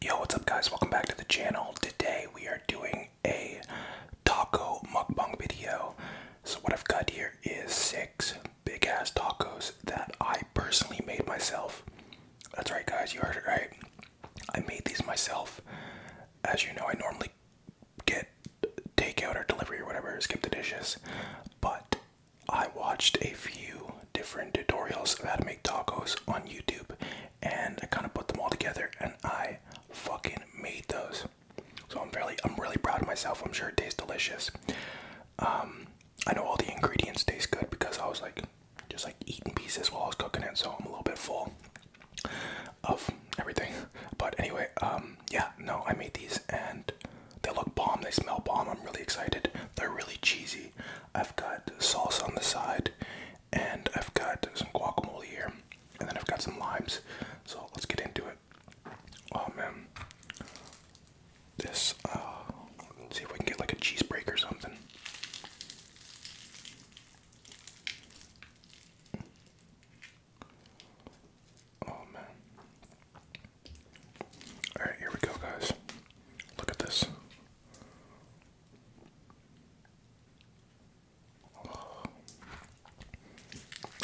Yo, what's up guys? Welcome back to the channel. Today we are doing a taco mukbang video. So what I've got here is six big ass tacos that I personally made myself. That's right guys, you heard it right. I made these myself. As you know, I normally get takeout or delivery or whatever, skip the dishes. But I watched a few different tutorials of how to make tacos on YouTube, and I kind of put them all together, and I fucking made those. So I'm really, I'm really proud of myself. I'm sure it tastes delicious. Um, I know all the ingredients taste good because I was like, just like eating pieces while I was cooking it, so I'm a little bit full of everything. But anyway, um, yeah, no, I made these and they look bomb. They smell bomb. I'm really excited. They're really cheesy. I've got sauce on the side, and I've got some guacamole here, and then I've got some limes. So let's get into it. Oh man, this. Uh, let's see if we can get like a cheese break or something. Oh man. Alright, here we go, guys. Look at this.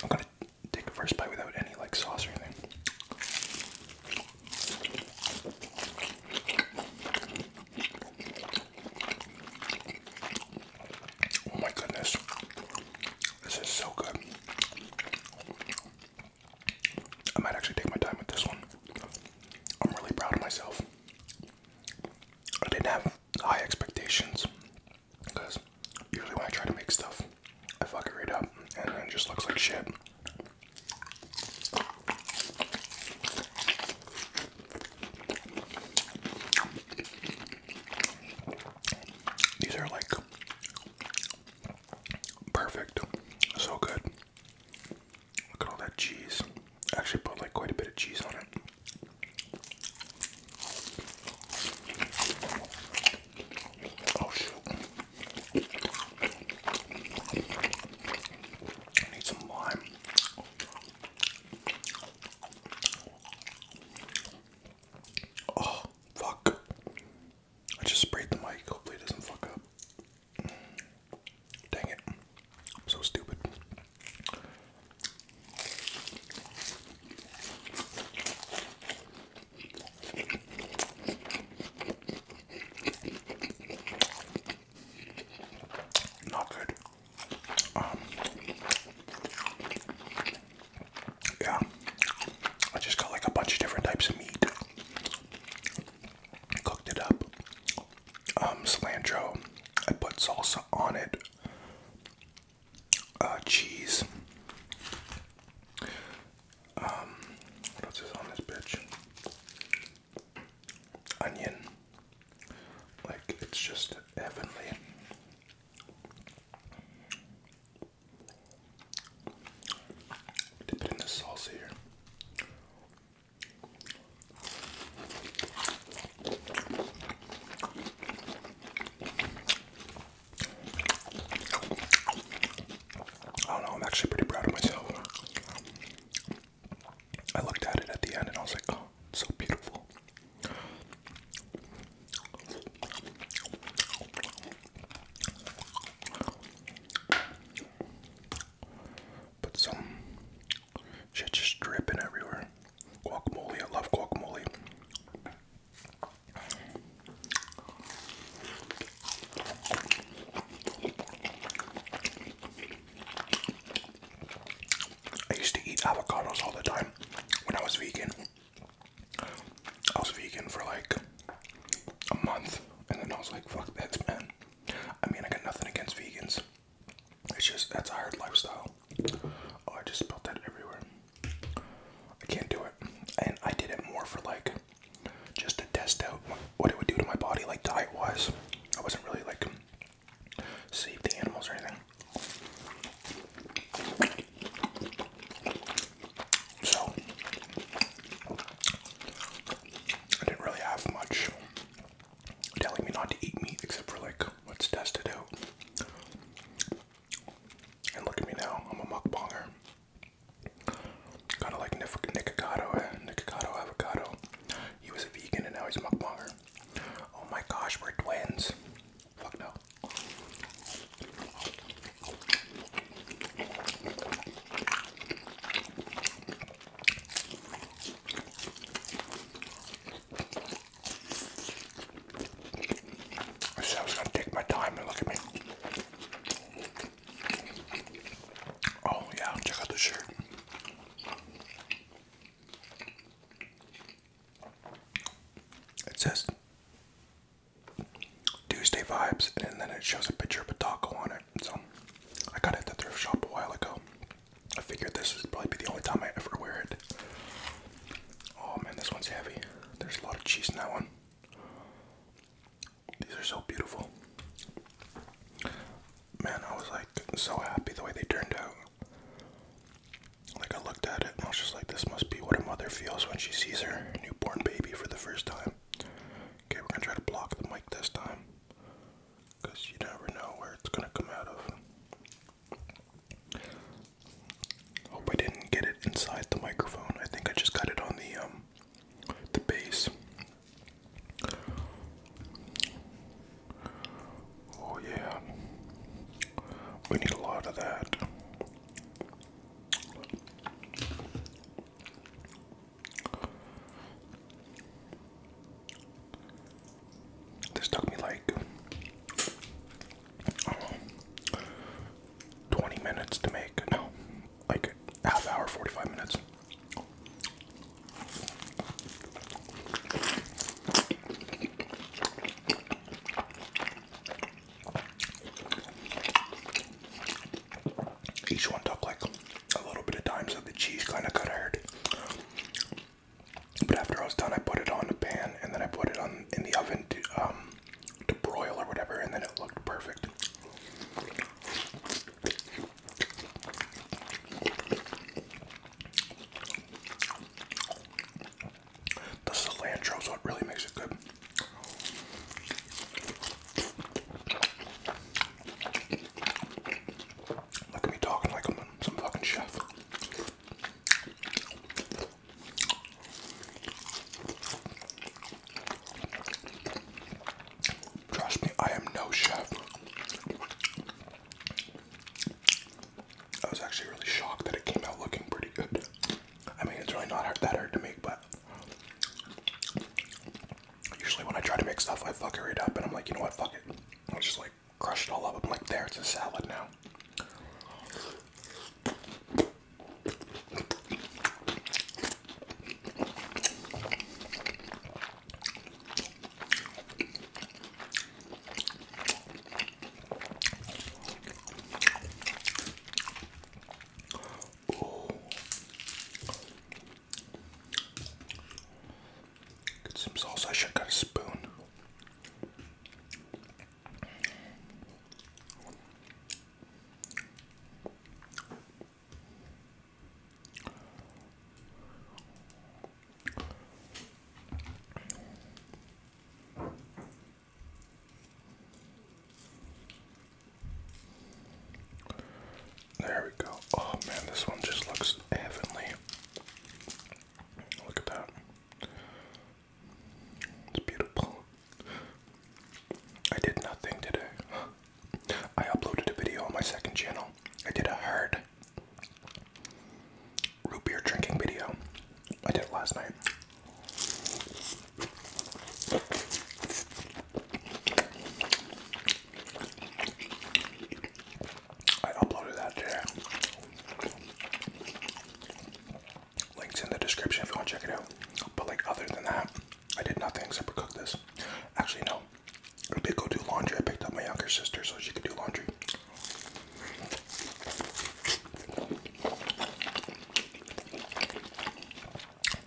I'm gonna take a first bite without any like sauce or anything. Oh my goodness. This is so good. I might actually take my time with this one. I'm really proud of myself. I didn't have high expectations because usually when I try to make stuff, I fuck it right up and then it just looks like shit. These are like perfect, so good. Look at all that cheese. I actually put like quite a bit of cheese on it. Oh shoot. I need some lime. Oh fuck. I just sprayed the mic. Hopefully it doesn't fuck up. Dang it. I'm so stupid. Not good. Um, yeah, I just got like a bunch of different types of meat cooked it up. Um, cilantro. I put salsa on it. Uh, cheese. Um, what else is on this bitch? Onion. Like it's just heavenly. I don't know, I'm actually pretty proud of myself. I looked at it at the end and I was like, oh, so beautiful. Put some shit just dripping everywhere. Guacamole, I love guacamole. I used to eat avocados all the time when I was vegan. I was vegan for like a month, and then I was like, fuck this, man. I mean, I got nothing against vegans. It's just, that's a hard lifestyle. Oh, I just spilled that everywhere. I can't do it. And I did it more for like, just to test out what it would do to my body, like diet wise. I wasn't really like, save the animals or anything. So, I didn't really have much telling me not to eat meat except for like, what's tested out. And look at me now, I'm a muck mukbanger. Kinda like Nikocado, eh? Nikocado avocado. He was a vegan and now he's a mukbanger. Oh my gosh, we're twins. Fuck no. I I was going to take my time and look at me. Oh, yeah, check out the shirt. It says Tuesday vibes, and then it shows a picture of a taco on it. So I got it at the thrift shop a while ago. I figured this would probably be the only time I ever wear it. Oh man, this one's heavy. There's a lot of cheese in that one. These are so beautiful. Man, I was like so happy the way they turned out. Like I looked at it and I was just like, this must be what a mother feels when she sees her newborn baby for the first time. Okay, we're gonna try to block the mic this time. Because you never know where it's gonna come out of. Hope I didn't get it inside the microphone. I think I just got it on the um the base. Oh yeah. We need a lot of that. This took me like 20 minutes to make. No, like half hour, 45 minutes. Each one took like a little bit of time, so the cheese kind of got hard. But after I was done, I put it on a pan and then I put it on in the oven to um to broil or whatever, and then it looked perfect. The cilantro is what really makes it good. Look at me talking like I'm some fucking chef. Trust me, I am no chef. I was actually really shocked that it came out looking pretty good. I mean, it's really not that hard to make, but Usually when I try to make stuff, I fuck it up, and I'm like, you know what, fuck it. I'll just like crush it all up. I'm like, there, it's a salad now. Ooh. Get some sauce. I should get a spoon. There we go. Oh man, this one just looks heavenly. Look at that. It's beautiful. I did nothing today. I uploaded a video on my second channel. I did a hard root beer drinking video. I did it last night. I uploaded that there. Links in the description if you want to check it out. But like other than that, I did nothing except cook this. Actually, no. I did go do laundry. I picked up my younger sister so she could do laundry.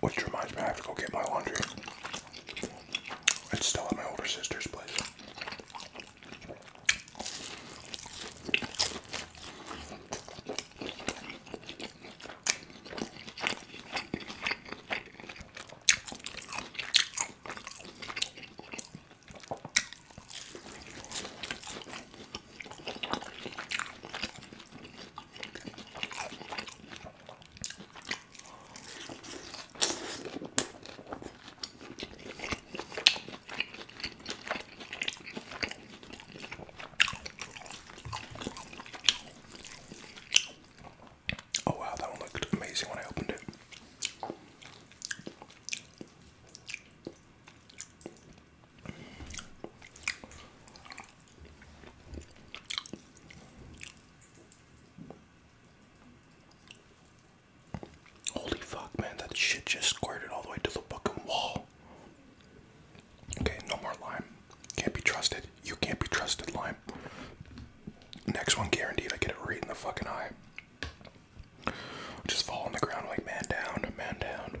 Which reminds me, I have to go get my laundry. It's still at my older sister's place. Oh wow, that one looked amazing when I opened it. Holy fuck, man, that shit just squirted all the way to the fucking wall. Okay, no more lime. Can't be trusted. You can't be trusted, lime. Next one, guaranteed, I get it right in the fucking eye. Just fall on the ground like man down, man down.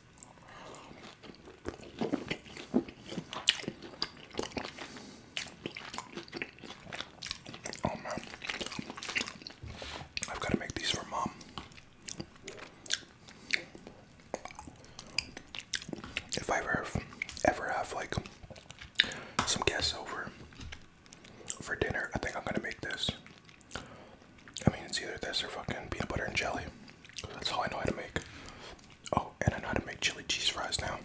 Oh man, I've got to make these for mom. If I ever ever have like some guests over for dinner, I think I'm gonna make this. I mean, it's either this or fucking peanut butter and jelly. That's all I know how to make. Oh, and I know how to make chili cheese fries now.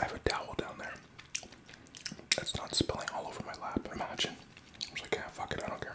I have a towel down there. That's not spilling all over my lap, imagine. I just like, yeah, fuck it, I don't care.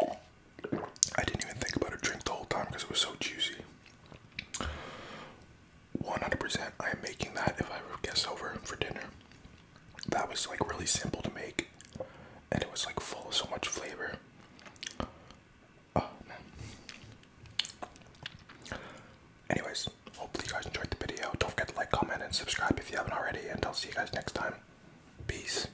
I didn't even think about a drink the whole time because it was so juicy. 100%, I am making that if I ever guess over for dinner. That was like really simple to make, and it was like full of so much flavor. Oh, Anyways, hopefully you guys enjoyed the video. Don't forget to like, comment, and subscribe if you haven't already, and I'll see you guys next time. Peace.